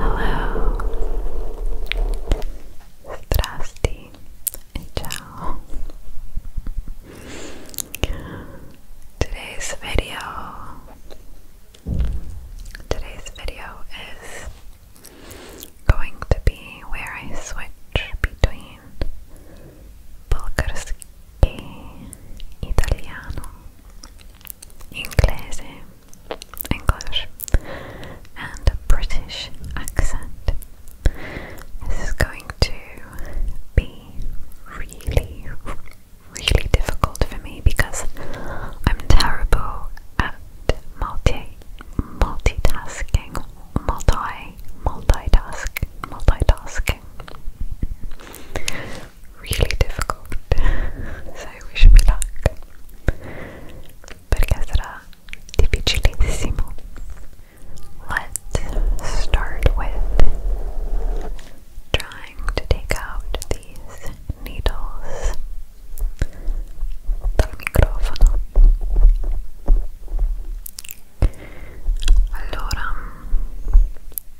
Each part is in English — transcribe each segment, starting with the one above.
Hello. Strasti and ciao. Today's video. Today's video is going to be where I switch between Bulgarski e italiano, inglese, English, and a British accent. This is going to be really, really difficult for me because I'm terrible at multi multitasking, multi multitask multitasking really difficult. so wish me luck. Perché sarà difficilissimo. Let's start with trying to take out these needles dal microfono. Allora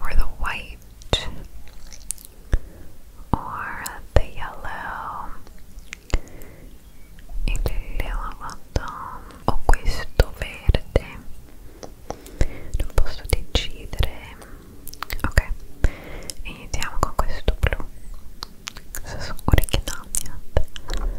or the white or the yellow il lavato o questo verde non posso decidere ok iniziamo con questo blu cosa sono orecchie no niente Blonde.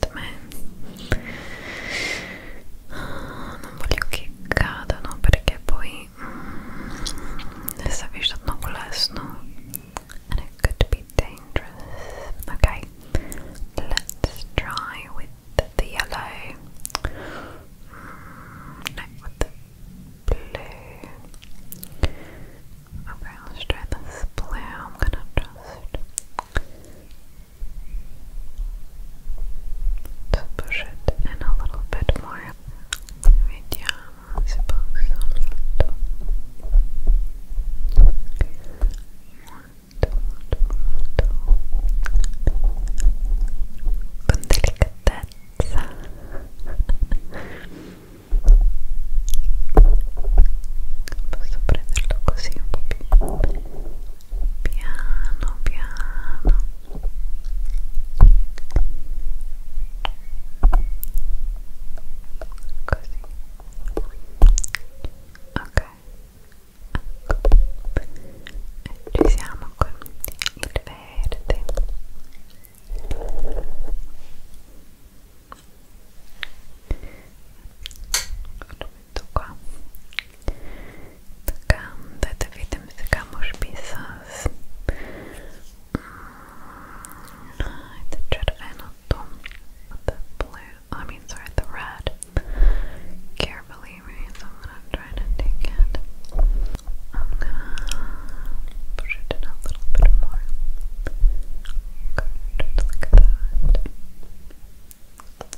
per me ah, non voglio che cadano perché poi mm, it could be dangerous ok let's try with the yellow no with the blue Okay, let's try this blue. I'm gonna just so push it in a little bit more. Vediamo se posso molto, molto, molto, molto. con delicatezza. Posso prenderlo così un po' più piano piano così ok ecco ci siamo con il verde lo тука така, да да видим сега може би с the червеното the blue, I mean sorry, the red carefully, right, I'm gonna try to take it I'm gonna push it in a little bit more look at that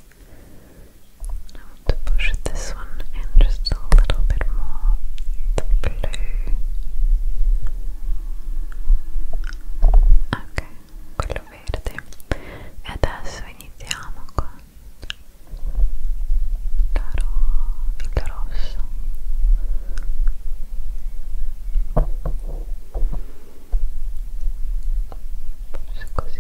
I want to push this one in just a little bit more. The blu. Ok, quello verde. E adesso iniziamo con il rosso forse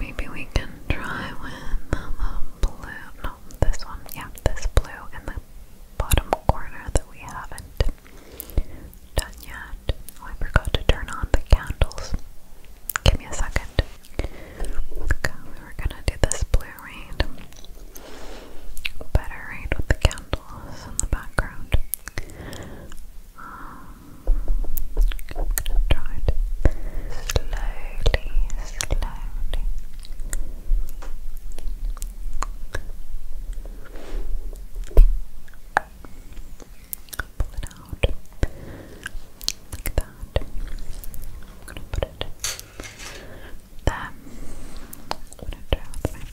maybe we can try with the um, blue no this one yeah this blue in the bottom corner that we haven't Done yet? Oh, I forgot to turn on the candles. Give me a second. we were gonna do this blue right. Better right with the candles in the background. Um, slowly, slowly. Pull it out like that. I'm gonna put it there. I'm gonna try with my fingers.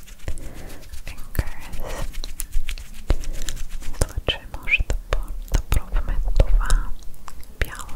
Zazwyczaj może to, to próbmy dwa białą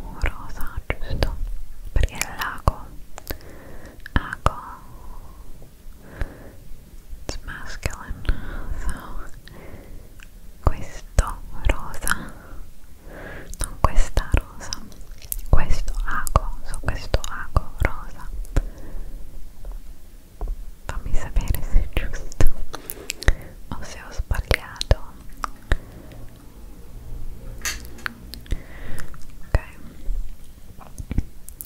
no, rosa, giusto? Perché è l'ago. Ago It's masculine. So questo rosa. Non questa rosa. Questo ago. So questo ago rosa. Fammi sapere se è giusto o se ho sbagliato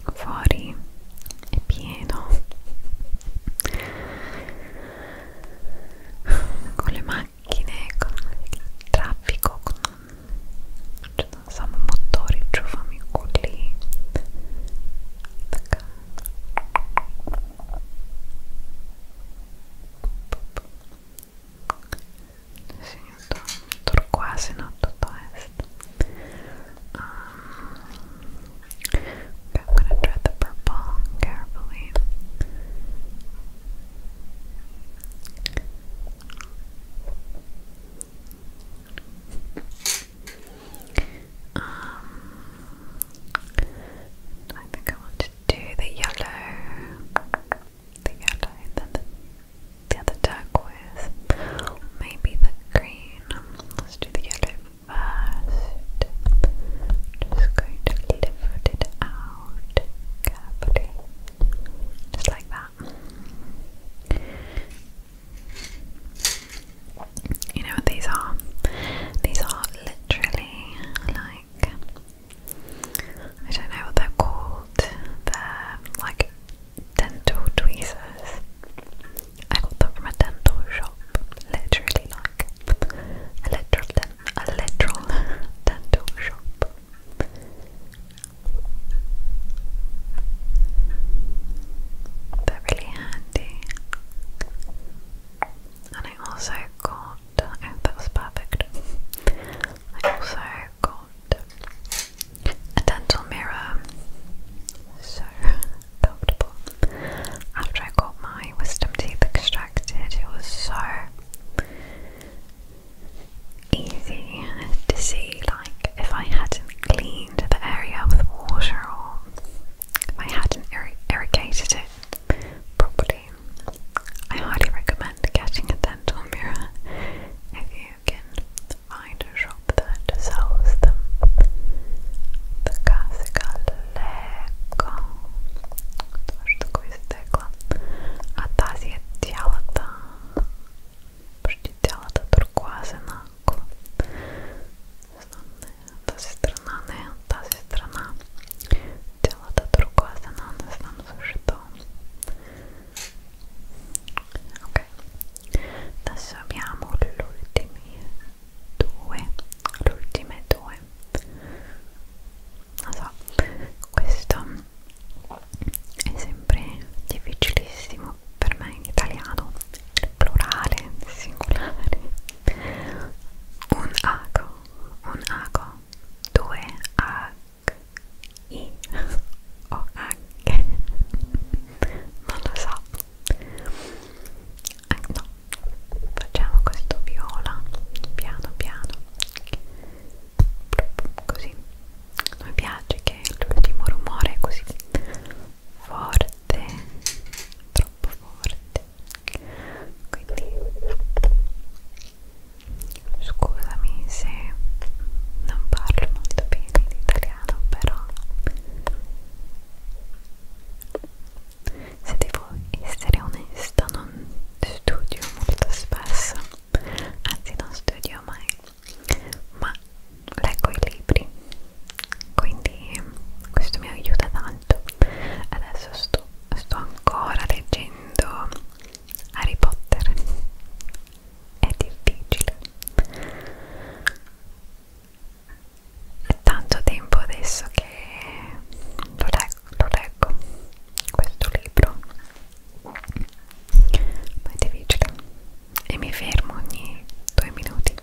ok fuori è pieno con le macchine con il traffico con cioè, non so un motore giù fammi lì Um, I'm gonna try the purple carefully. Um, I think I want to do the yellow, the yellow, then the, the other turquoise, maybe the green. Let's do the yellow first. Just going to lift it out carefully, just like that. You know what these are? These are literally like I don't know what they're called. They're like dental tweezers. I got them from a dental shop. Literally like a literal, a literal dental shop. They're really handy. And I also got that was perfect. I also got a dental mirror, so comfortable. After I got my wisdom teeth extracted, it was so easy to see like if I hadn't cleaned the area with water or I hadn't irrigated it properly I highly recommend getting a dental mirror if you can find a shop that sells them. The Casa Leco. Coś такое стекло. А тази е цялата, почти цялата туркуазена. Знам, не е от тази страна, не е от тази страна. дело-то другое, она у нас там за что. Ok, adesso abbiamo gli ultimi due, le ultime due. Non so, questo è sempre difficilissimo per me in italiano, il plurale, il singolare. Un ago, un ago 2 H I O H non lo so eh, no facciamo questo viola piano piano così non mi piace che l'ultimo rumore è così forte troppo forte quindi Scusami se non parlo molto bene l'italiano, però se devo essere onesta non studio molto spesso, anzi non studio mai, ma leggo i libri, quindi questo mi aiuta tanto. Adesso sto, sto ancora leggendo Harry Potter è difficile è tanto tempo adesso che lo leggo, lo leggo questo libro ma è difficile e mi fermo ogni due minuti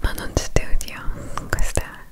ma non studio questa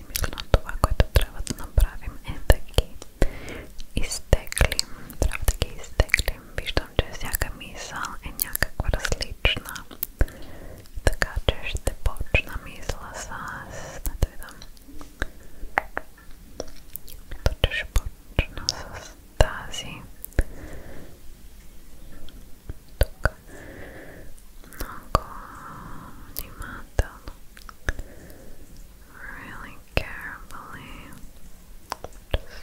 именно това, което трябва да направим е да ги изтеглим. Трябва да ги изтеглим. Виждам, че всяка мисъл е някаква различна. Така че ще почна мисъла с... Да видам. Точно ще почна с тази. Тук. Много внимателно. really carefully. Just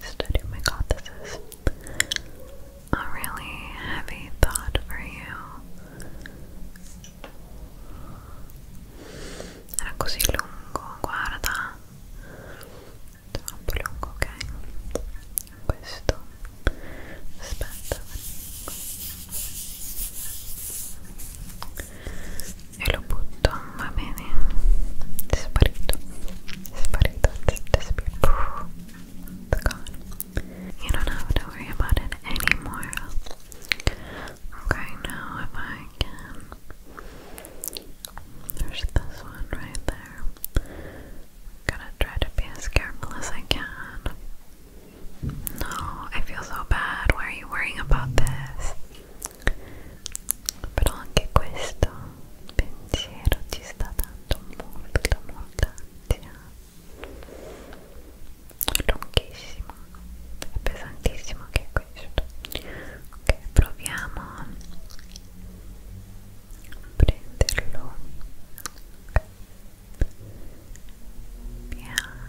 Study my god, this is a really heavy thought for you. Era così lungo, guarda. Troppo lungo, ok? Questo. Aspetta. E lo butto, va bene? Sparito. His funny gone. You don't have to worry about it anymore. Okay, now if I can. There's this one right there. Gotta try to be as careful as I can. No, I feel so bad. Why are you worrying about this? però anche questo pensiero ci sta dando molta molta ansia è lunghissimo è pesantissimo anche questo ok proviamo a prenderlo okay. piano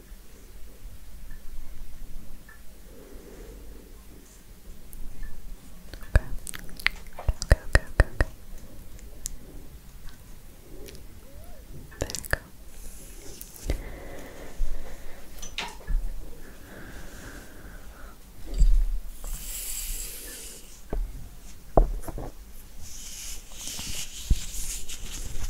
Okay. Okay, okay, okay, okay. There you go.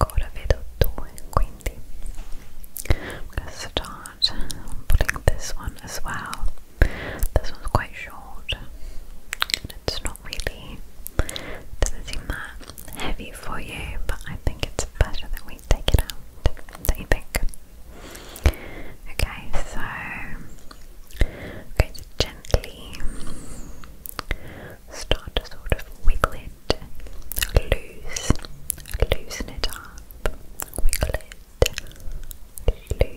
Ora vedo due, quindi I'm going to start putting this one as well. This one's quite short and it's not really, doesn't seem that heavy for you, but I think it's better that we take it out. do you think? Okay, so i gently start to sort of wiggle it loose, loosen it up, wiggle it loose. Good.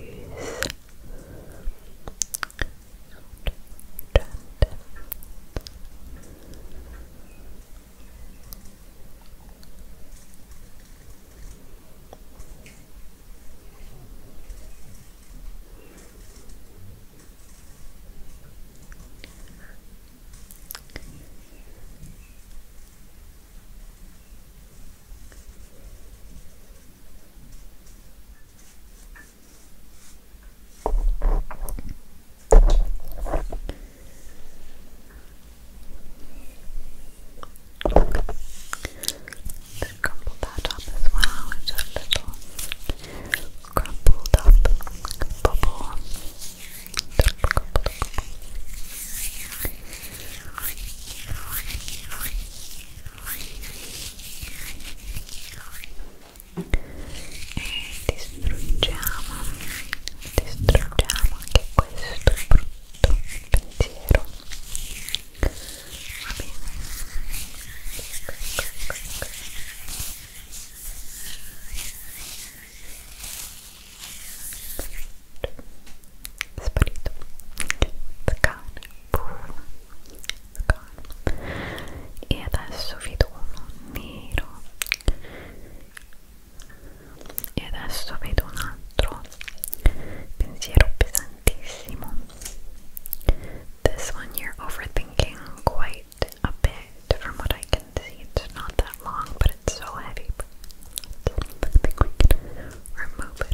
Just crumple that up as well into a little crumpled up distruggiamo, distruggiamo anche questo brutto pensiero. Sparito. It's gone. It's gone. E adesso vedo uno nero. E adesso vedo un altro This one you're overthinking quite a bit from what I can see. It's not that long, but it's so heavy. But I think remove it, Okay.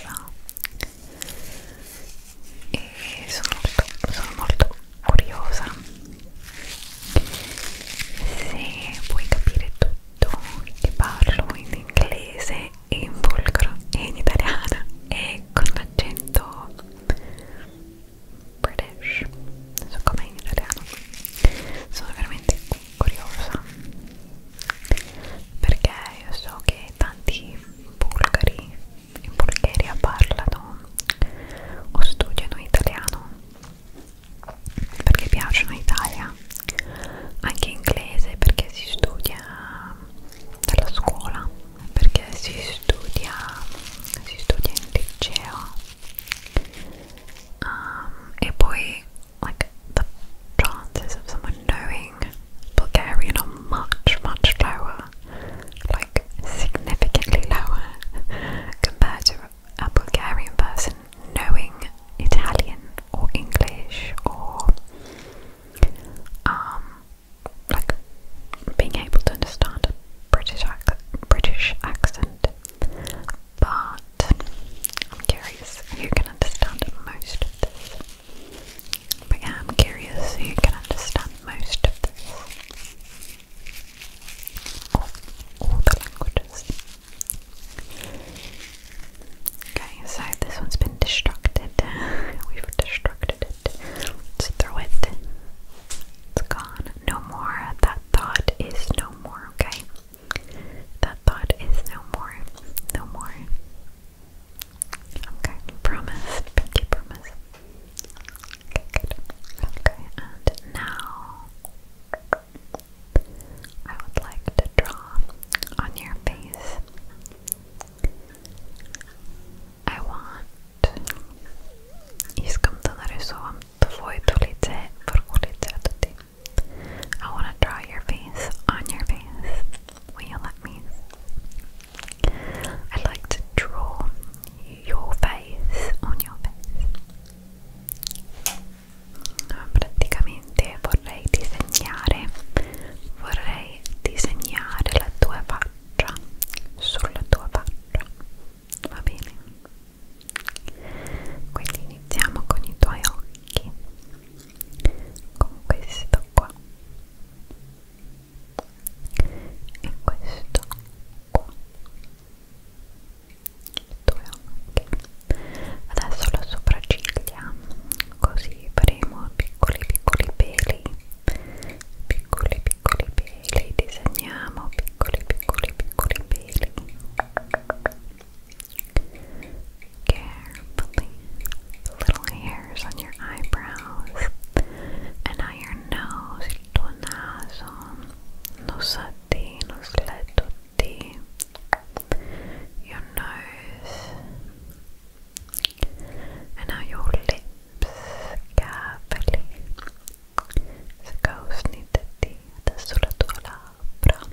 nulla e sono molto, sono molto curiosa se puoi capire tutto che parlo in inglese e in volgro e in italiano e con l'accento british non so com'è in italiano sono veramente curiosa perché io so che tanti bulgari in Bulgaria parlano o studiano italiano perché piacciono Italia anche inglese perché si studia dalla scuola perché si studia si studia in liceo um, e poi like the chances of someone knowing Bulgarian are much, much lower, like significantly lower compared to a Bulgarian person knowing Italian or English or um like being able to understand British British accent. But I'm curious who can understand most but yeah, I'm curious so you can understand most of this. All, all the languages. Okay, so this one's been destructed. We've destructed it. Let's throw it. It's gone. No more. That thought is no more, okay? That thought is no more. No more. Okay, promise. Pinky promise. Okay, good. Okay, and now I would like to draw on your face. I want. I want to draw your face on your face. Will you let me? I'd like to draw your face on your face. Praticamente vorrei disegnare, vorrei disegnare la tua faccia sulla tua faccia. Va bene? Quindi iniziamo con i tuoi occhi con questo qua e questo qua due occhi adesso la sopracciglia così faremo piccoli piccoli peli piccoli piccoli peli disegniamo piccoli piccoli piccoli peli Carefully, the little hairs on your eyebrows and on your nose, tuo naso, non so di, non your nose, and now your lips, carefully, scausnitati adesso la tua labbra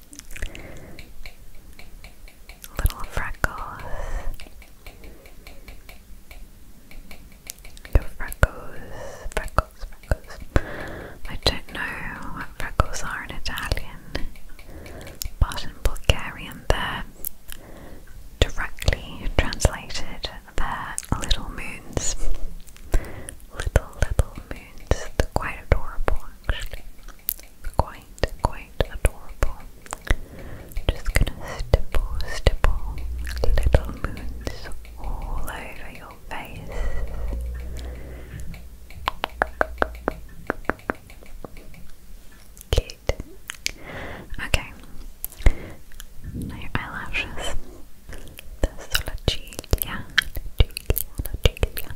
Little freckles. Your freckles, freckles, freckles. I don't know what freckles are in Italian, but in Bulgarian they're directly translated their little moons. Little, little moons. They're quite adorable actually quite, quite adorable. Just gonna stipple, stipple little moons all over your face. Cute. Okay. Now your eyelashes. The Sola Gilia, La Gilia, La Gilia.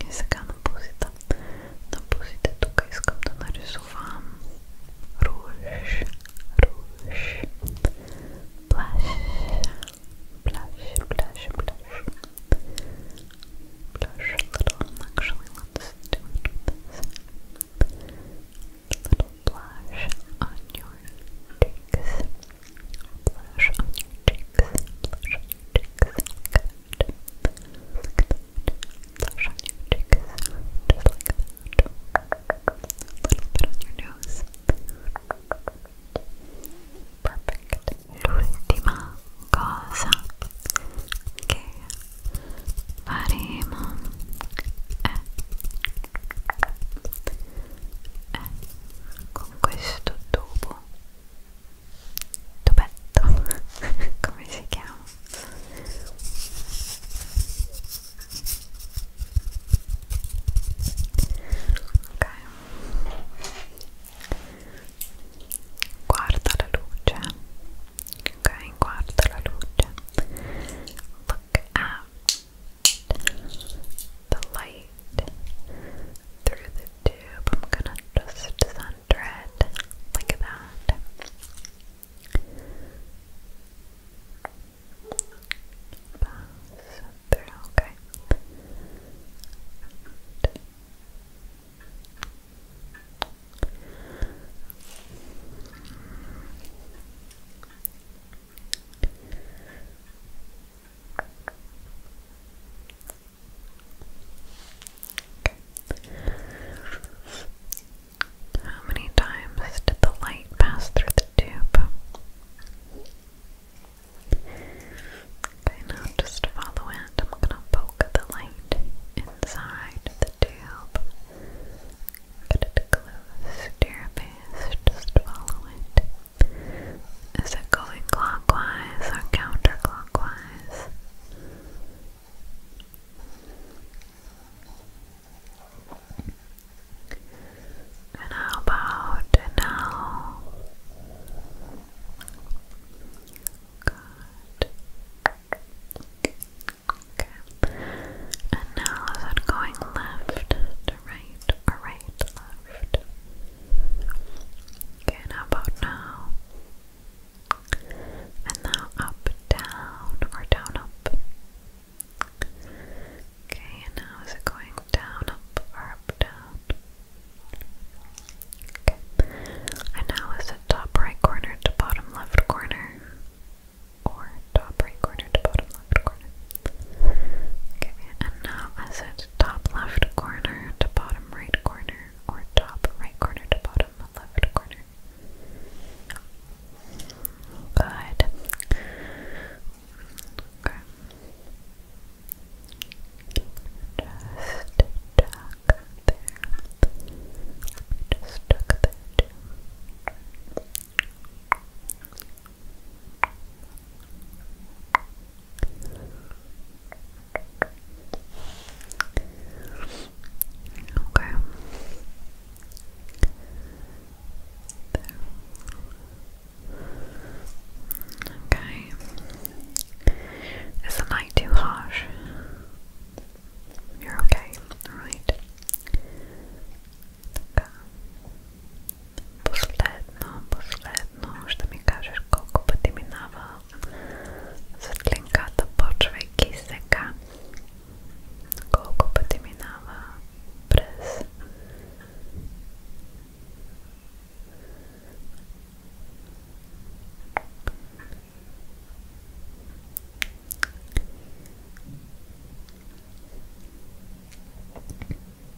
И сега на пузите. На пузите тук искам да нарисувам руж, руж, плаш, плаш, плаш, плаш. Blush a little, little blush on your cheeks. Blush on your cheeks. Blush on your cheeks. Good. Look at that. Blush on your cheeks. Just like that. A little bit on your nose. Perfect. L'ultima cosa che faremo è, è con questo tubo tubetto come si chiama ok guarda la luce ok guarda la luce look at the light straight through the tube. I'm gonna just center it like that. Okay. How many times did the light pass through the tube? Okay, now just follow it. I'm gonna poke the light inside the tube. Get close to your Just follow it. Is it going clockwise or counterclockwise? And how about now? Good. Okay. And now is it going left to right or right right, left. Okay, and about now? And now up, down, or down, up. Okay, and now is it going down, up, or up, down? Okay. And now is it top right corner to bottom left corner? Or top right corner to bottom left corner? Okay, and now is it top left corner to bottom right corner, or top right corner to bottom left corner. Good. Okay. Just duck there. Just duck there Okay. There. Okay. Is the light too harsh? You're okay, alright. Okay. Buslet, no, buslet. но ще ми кажеш колко пъти минава светлинката, почвайки сега. Колко пъти минава през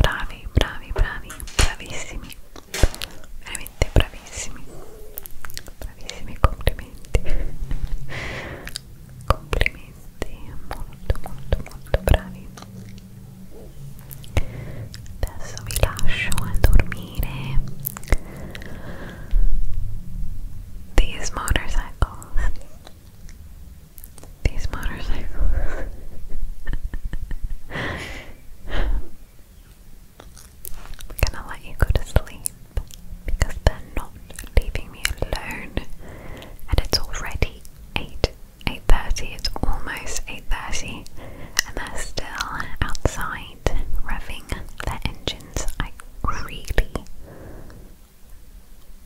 bravi bravi bravi bravissimi veramente bravissimi bravissimi complimenti complimenti molto molto molto bravi adesso vi lascio a dormire these motorcycles these motorcycles. I'm gonna let you go to sleep because they're not leaving me alone, and it's already eight eight thirty. It's almost eight thirty, and they're still outside revving their engines. I really,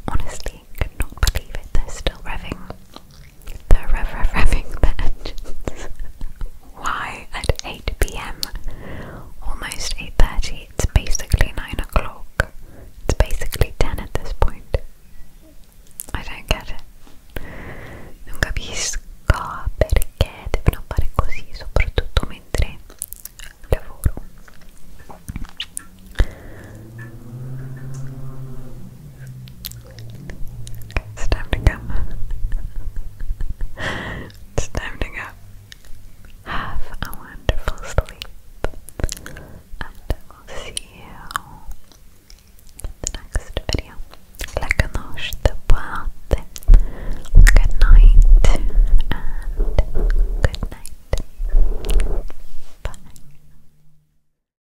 honestly, could believe it. They're still revving the rev revving the engines. Why at 8 pm? Almost 8.30, it's basically 9 o'clock. It's basically 10 at this point. I don't get it. Non capisco perché devono fare così, soprattutto mentre lavoro. It's time to go. it's time to go. Have a wonderful sleep. And we'll see you in the next video. Like noche de boate. Good night and good night. Bye.